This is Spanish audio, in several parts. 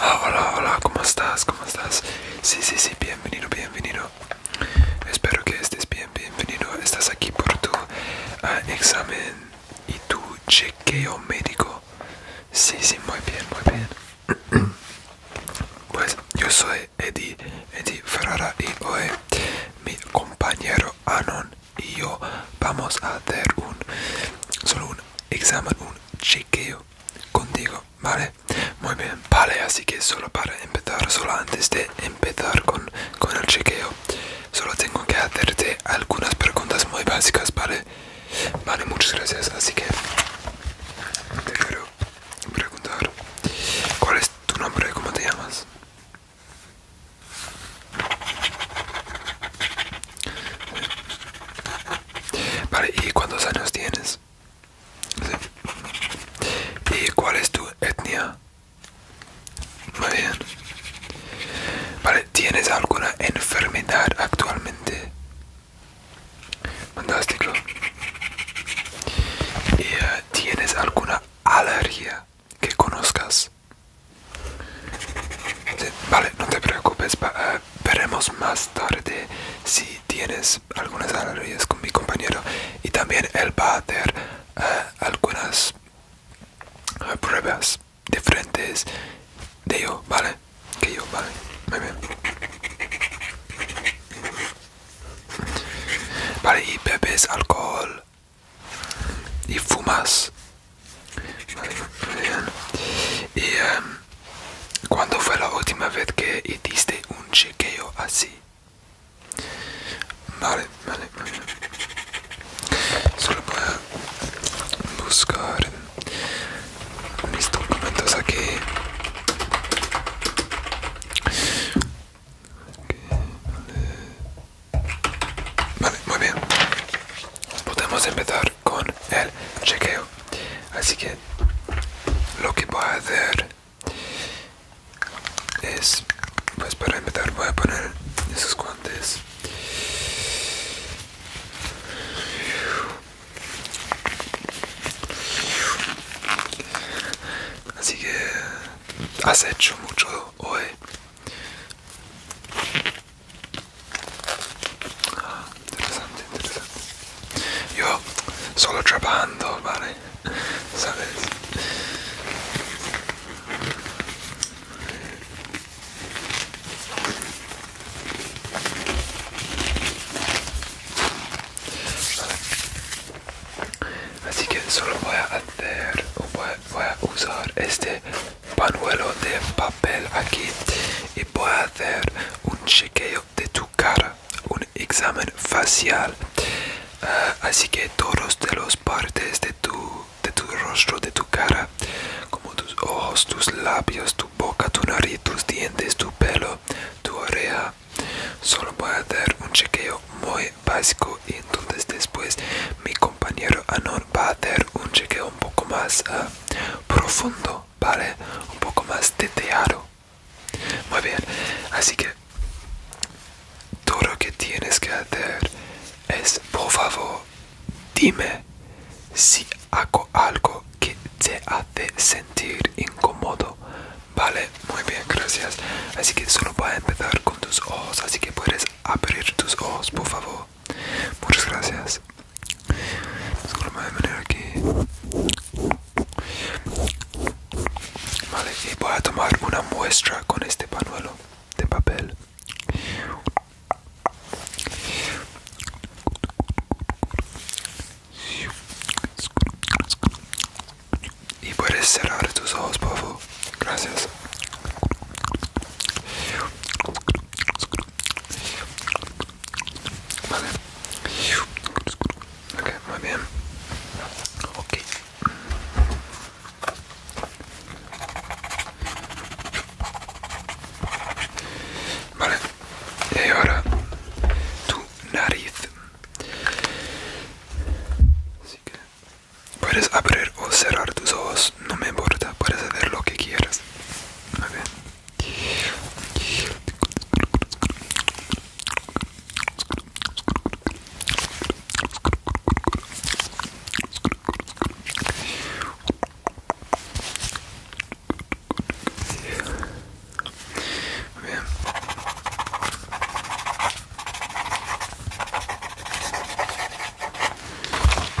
Ah, hola, hola, ¿cómo estás? ¿Cómo estás? Sí, sí, sí, bienvenido, bienvenido. Espero que estés bien, bienvenido. Estás aquí por tu ah, examen y tu chequeo médico. Sí, sí, muy bien, muy bien. Pues yo soy Eddie, Eddie Ferrara y hoy mi compañero Anon y yo vamos a hacer un solo un examen, un chequeo contigo, ¿vale? Muy bien, vale, así que solo para empezar, solo antes de empezar con, con el chequeo, solo tengo que hacerte algunas preguntas muy básicas, ¿vale? Vale, muchas gracias, así que te quiero preguntar, ¿cuál es tu nombre? ¿Cómo te llamas? Vale, ¿y cuántos años tienes? ¿Y cuál es tu etnia? Muy bien. Vale, ¿tienes alguna enfermedad actualmente? Fantástico. ¿Y eh, tienes alguna alergia? que conozcas. vale, no te preocupes, eh, veremos más tarde si tienes algunas analogías con mi compañero y también él va a hacer eh, algunas eh, pruebas diferentes de yo, ¿vale? Que yo, ¿vale? Vale, y bebés alcohol y fumas. ¿Y cuando em, cuándo fue la última vez que hiciste un chequeo así? Vale, vale, vale. Solo voy a buscar mis documentos aquí. vale. Vale, muy bien. Podemos empezar con el chequeo. Así que lo que voy a hacer es, pues para empezar voy a poner esos guantes. Así que has hecho mucho hoy. Ah, interessante, interessante. Io solo trapando, pare. Sapete. Vale. así que solo voy a hacer voy, a usar este panuelo de papel aquí y voy a hacer un chequeo de tu cara un examen facial ah, así que todos de las partes de tu de tu rostro de tu cara como tus ojos tus labios tu boca tu nariz tus dientes tu pelo tu oreja solo voy a hacer un chequeo muy básico y entonces después mi compañero Anon va a hacer un chequeo un poco más ah, profundo, ¿vale? Un poco más detallado. Muy bien, así que todo lo que tienes que hacer es, por favor, dime si hago algo que te hace sentir incómodo. Vale, muy bien, gracias. Así que solo voy a empezar con tus ojos, así que puedes abrir tus ojos, por favor. Muchas gracias. de manera que... Vale, voy a tomar una muestra con este panuelo de papel. Y puedes cerrar tus ojos, por favor. Gracias. Vale. muy bien. Ok. Vale. Y ahora tu nariz. Así que Puedes abrir o cerrar tus ojos, no me importa, puedes hacer lo que quieras.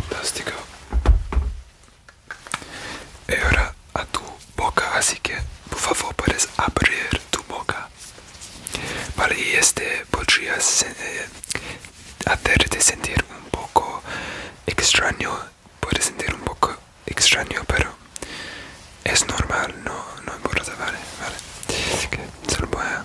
Fantástico. Y ahora a tu boca, así que por favor puedes abrir tu boca. Vale, y este podría eh, hacerte sentir un poco extraño. puede sentir un poco extraño, pero es normal, no, importa, vale, vale. Así que se voy a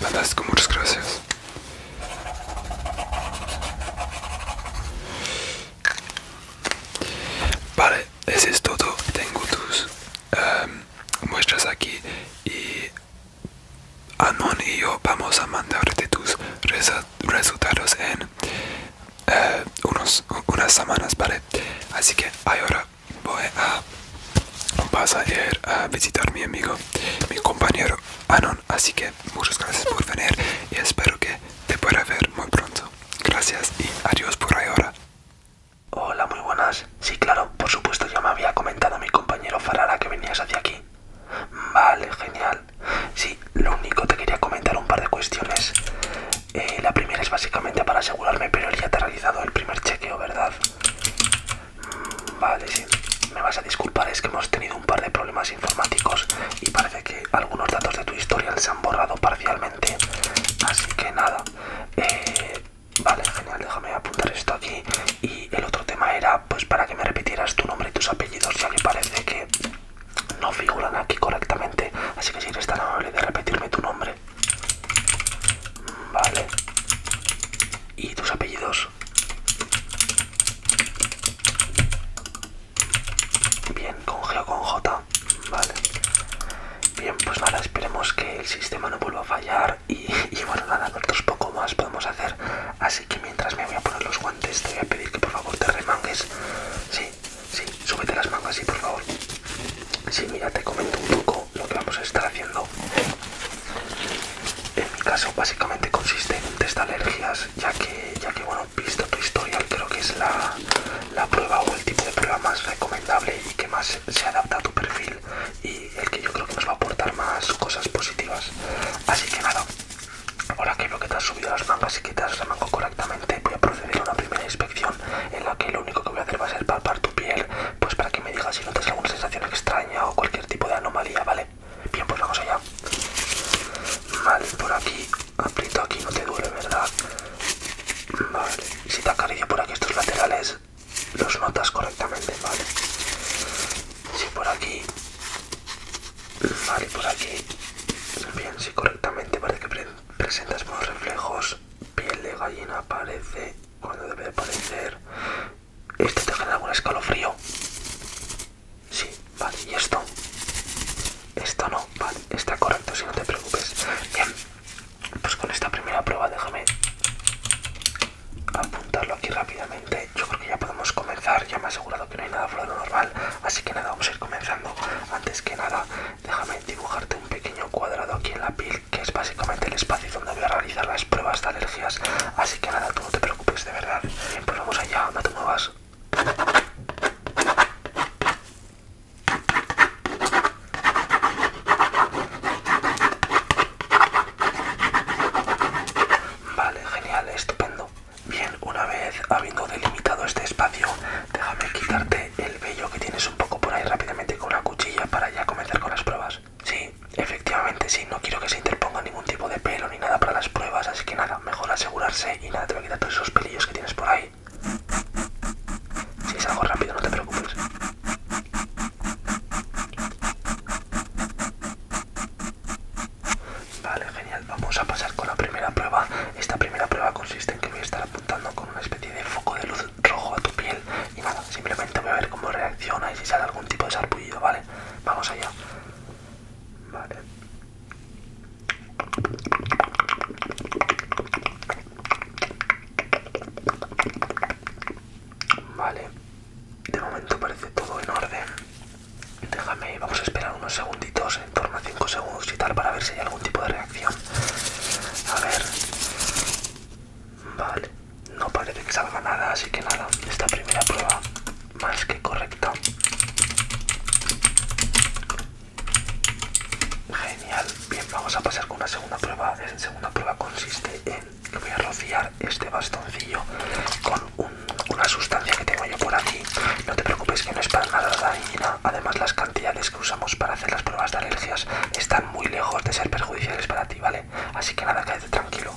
Fantástico, muchas gracias. Vale, ese es todo. Tengo tus em, muestras aquí y Anon y yo vamos a mandarte tus resultados en eh, unas semanas, ¿vale? Así que ahora voy a pasar a visitar a mi amigo, mi compañero Anon. Así que muchas gracias por venir y espero que te pueda ver muy pronto. Gracias y adiós por ahora. Hola, muy buenas. Sí, claro, por supuesto, ya me había comentado mi compañero Farara que venías hacia aquí. Vale, genial. Sí, lo único te quería comentar un par de cuestiones. Eh, la primera es básicamente para asegurarme, pero ya te ha realizado el primer chequeo, ¿verdad? Mm, vale, sí. Me vas a disculpar, es que hemos tenido un par de problemas informáticos y parece que algunos datos de tu historial se han borrado parcialmente. Así que nada. Eh, vale, genial, déjame apuntar esto aquí. Y el otro tema era pues para que me repitieras tu nombre y tus apellidos, ya me parece que no figuran aquí correctamente, así que si eres tan amable de repetirme tu nombre. Mm, vale. ¿Y tus apellidos? Bien, con G o con J. Vale. Bien, pues nada, esperemos que el sistema no vuelva a fallar y, bueno, nada, nosotros poco más podemos hacer. Así que mientras me voy a poner los guantes, te voy a pedir que por favor te remangues. Sí, sí, súbete las mangas, y por favor. Sí, mira, te comento un poco lo que vamos a estar haciendo. En mi caso, básicamente consiste en test de alergias, ya que, ya que bueno, visto tu historial, creo que es la prueba o el tipo de prueba más recomendable y que más se adapta a tu perfil y el que yo creo que nos va a aportar más cosas positivas. Así que nada, Ahora que veo que te has subido las mangas y que te has remangado correctamente, voy a proceder a una primera inspección en la que lo único que voy a hacer va a ser palpar tu piel, pues para que me digas si notas alguna sensación extraña o cualquier tipo de anomalía, ¿vale? Bien, pues vamos allá. Vale, por aquí, aprieto aquí, no te duele, ¿verdad? Vale, si te acaricio por aquí estos laterales, los notas correctamente, ¿vale? Si por aquí Vale, por aquí. Bien, si correctamente parece que presentas buenos reflejos. Piel de gallina aparece cuando debe aparecer. este te genera algún escalofrío? Sí, vale, ¿y esto? Esto no, vale, está correcto, si no te preocupes. Bien, pues con esta primera prueba déjame apuntarlo aquí rápidamente. Yo creo que ya podemos comenzar, ya me he asegurado que no hay nada fuera lo normal, así que nada, vamos a ir comenzando. Antes que nada, déjame dibujarte un pequeño cuadrado aquí en la piel, que es básicamente el espacio donde voy a realizar las pruebas de alergias. Así que nada, tú no te preocupes, de verdad. pues vamos allá, no te muevas. Vale, genial, estupendo. Bien, una vez habiendo delimitado este espacio, déjame quitarte el vello que tienes un poco por ahí rápidamente con la cuchilla para ya comenzar con las pruebas. Sí, efectivamente sí, no quiero que se interponga ningún tipo de pelo ni nada para las pruebas, así que nada, mejor asegurarse y nada, te voy a quitar todos esos pelillos que tienes por ahí. Si es algo rápido, no te preocupes. Vale, genial. Vamos a pasar con la primera prueba. Esta primera prueba consiste en que voy a estar apuntando con una especie de foco de luz rojo a tu piel. Y nada, simplemente voy a ver cómo reacciona y si sale algún tipo de sarpullido, ¿vale? Vamos allá. Vale. Vale. De momento parece todo en orden. Déjame, vamos a esperar unos segunditos, en torno a 5 segundos y tal, para ver si hay algún tipo de reacción. A ver. Vale, no parece que salga nada, así que nada, esta primera prueba más que correcta. Genial, bien, vamos a pasar con una segunda prueba. La segunda prueba consiste en que voy a rociar este bastoncillo con un una sustancia que tengo yo por aquí. No te preocupes que no es para nada dañina. Además, las cantidades que usamos para hacer las pruebas de alergias están muy lejos de ser perjudiciales para ti, ¿vale? Así que nada, cállate tranquilo.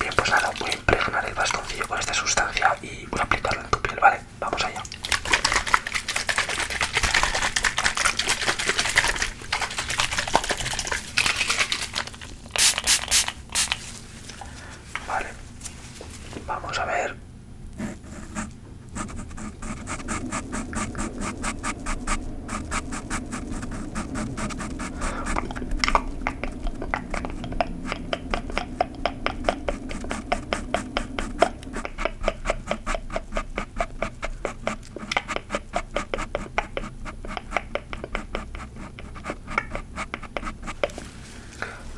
Bien, pues nada, voy a impregnar el bastoncillo con esta sustancia y voy a aplicarlo en tu piel, ¿vale? Vamos allá. Vale. Vamos a ver.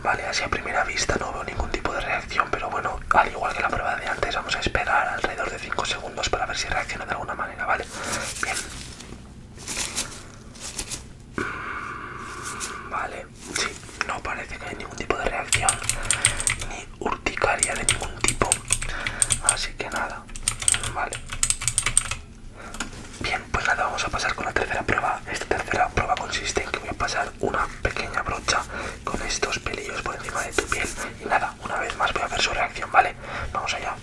Vale, así a primera vista no veo ningún tipo de reacción, pero bueno, al igual que la prueba de antes, vamos a esperar alrededor de 5 segundos para ver si reacciona de alguna manera, ¿vale? Bien. Mm, vale, sí, no parece que hay ningún tipo de reacción, ni urticaria de ningún tipo, así que nada, vale. Bien, pues nada, vamos a pasar con la tercera prueba. Esta tercera prueba consiste en que voy a pasar una pequeña brocha con estos pelillos por encima de tu piel. Y nada, una vez más voy a ver su reacción, ¿vale? Vamos allá.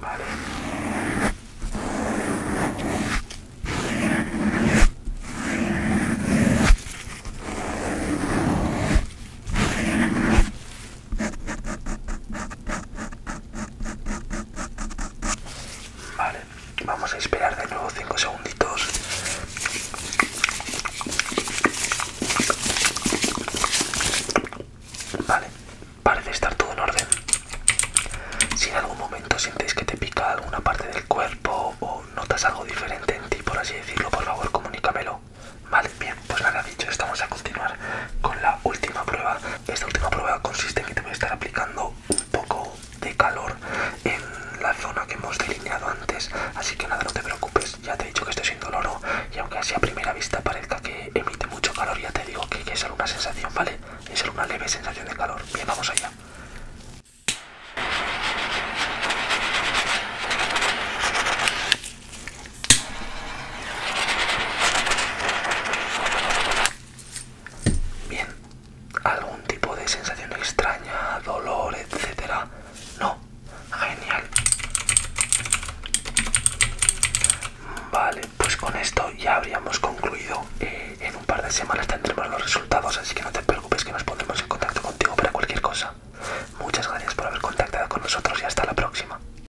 Vale. Vale, vamos a esperar de nuevo 5 segunditos. Vale, parece estar todo en orden. Si en algún momento sientes que te pica alguna parte del cuerpo o notas algo diferente en ti, por así decirlo, por favor comunícamelo. Vale, bien pues nada dicho, estamos a continuar con la última prueba. Esta última prueba consiste en que te voy a estar aplicando un poco de calor en la zona que hemos delineado antes. Así que nada, no te preocupes, ya te he dicho que estoy sin dolor y aunque así a primera vista parezca que emite mucho calor, ya te digo que, que es solo una sensación, ¿vale? Es solo una leve sensación de calor. Bien, vamos allá. Bien, algún tipo de sensación extraña, dolor, etcétera. No, genial. Vale, pues con esto ya habríamos concluido. Eh, en un par de semanas tendremos los resultados, así que no te preocupes que nos pondremos en contacto contigo para cualquier cosa. Muchas gracias por haber contactado con nosotros y hasta la próxima.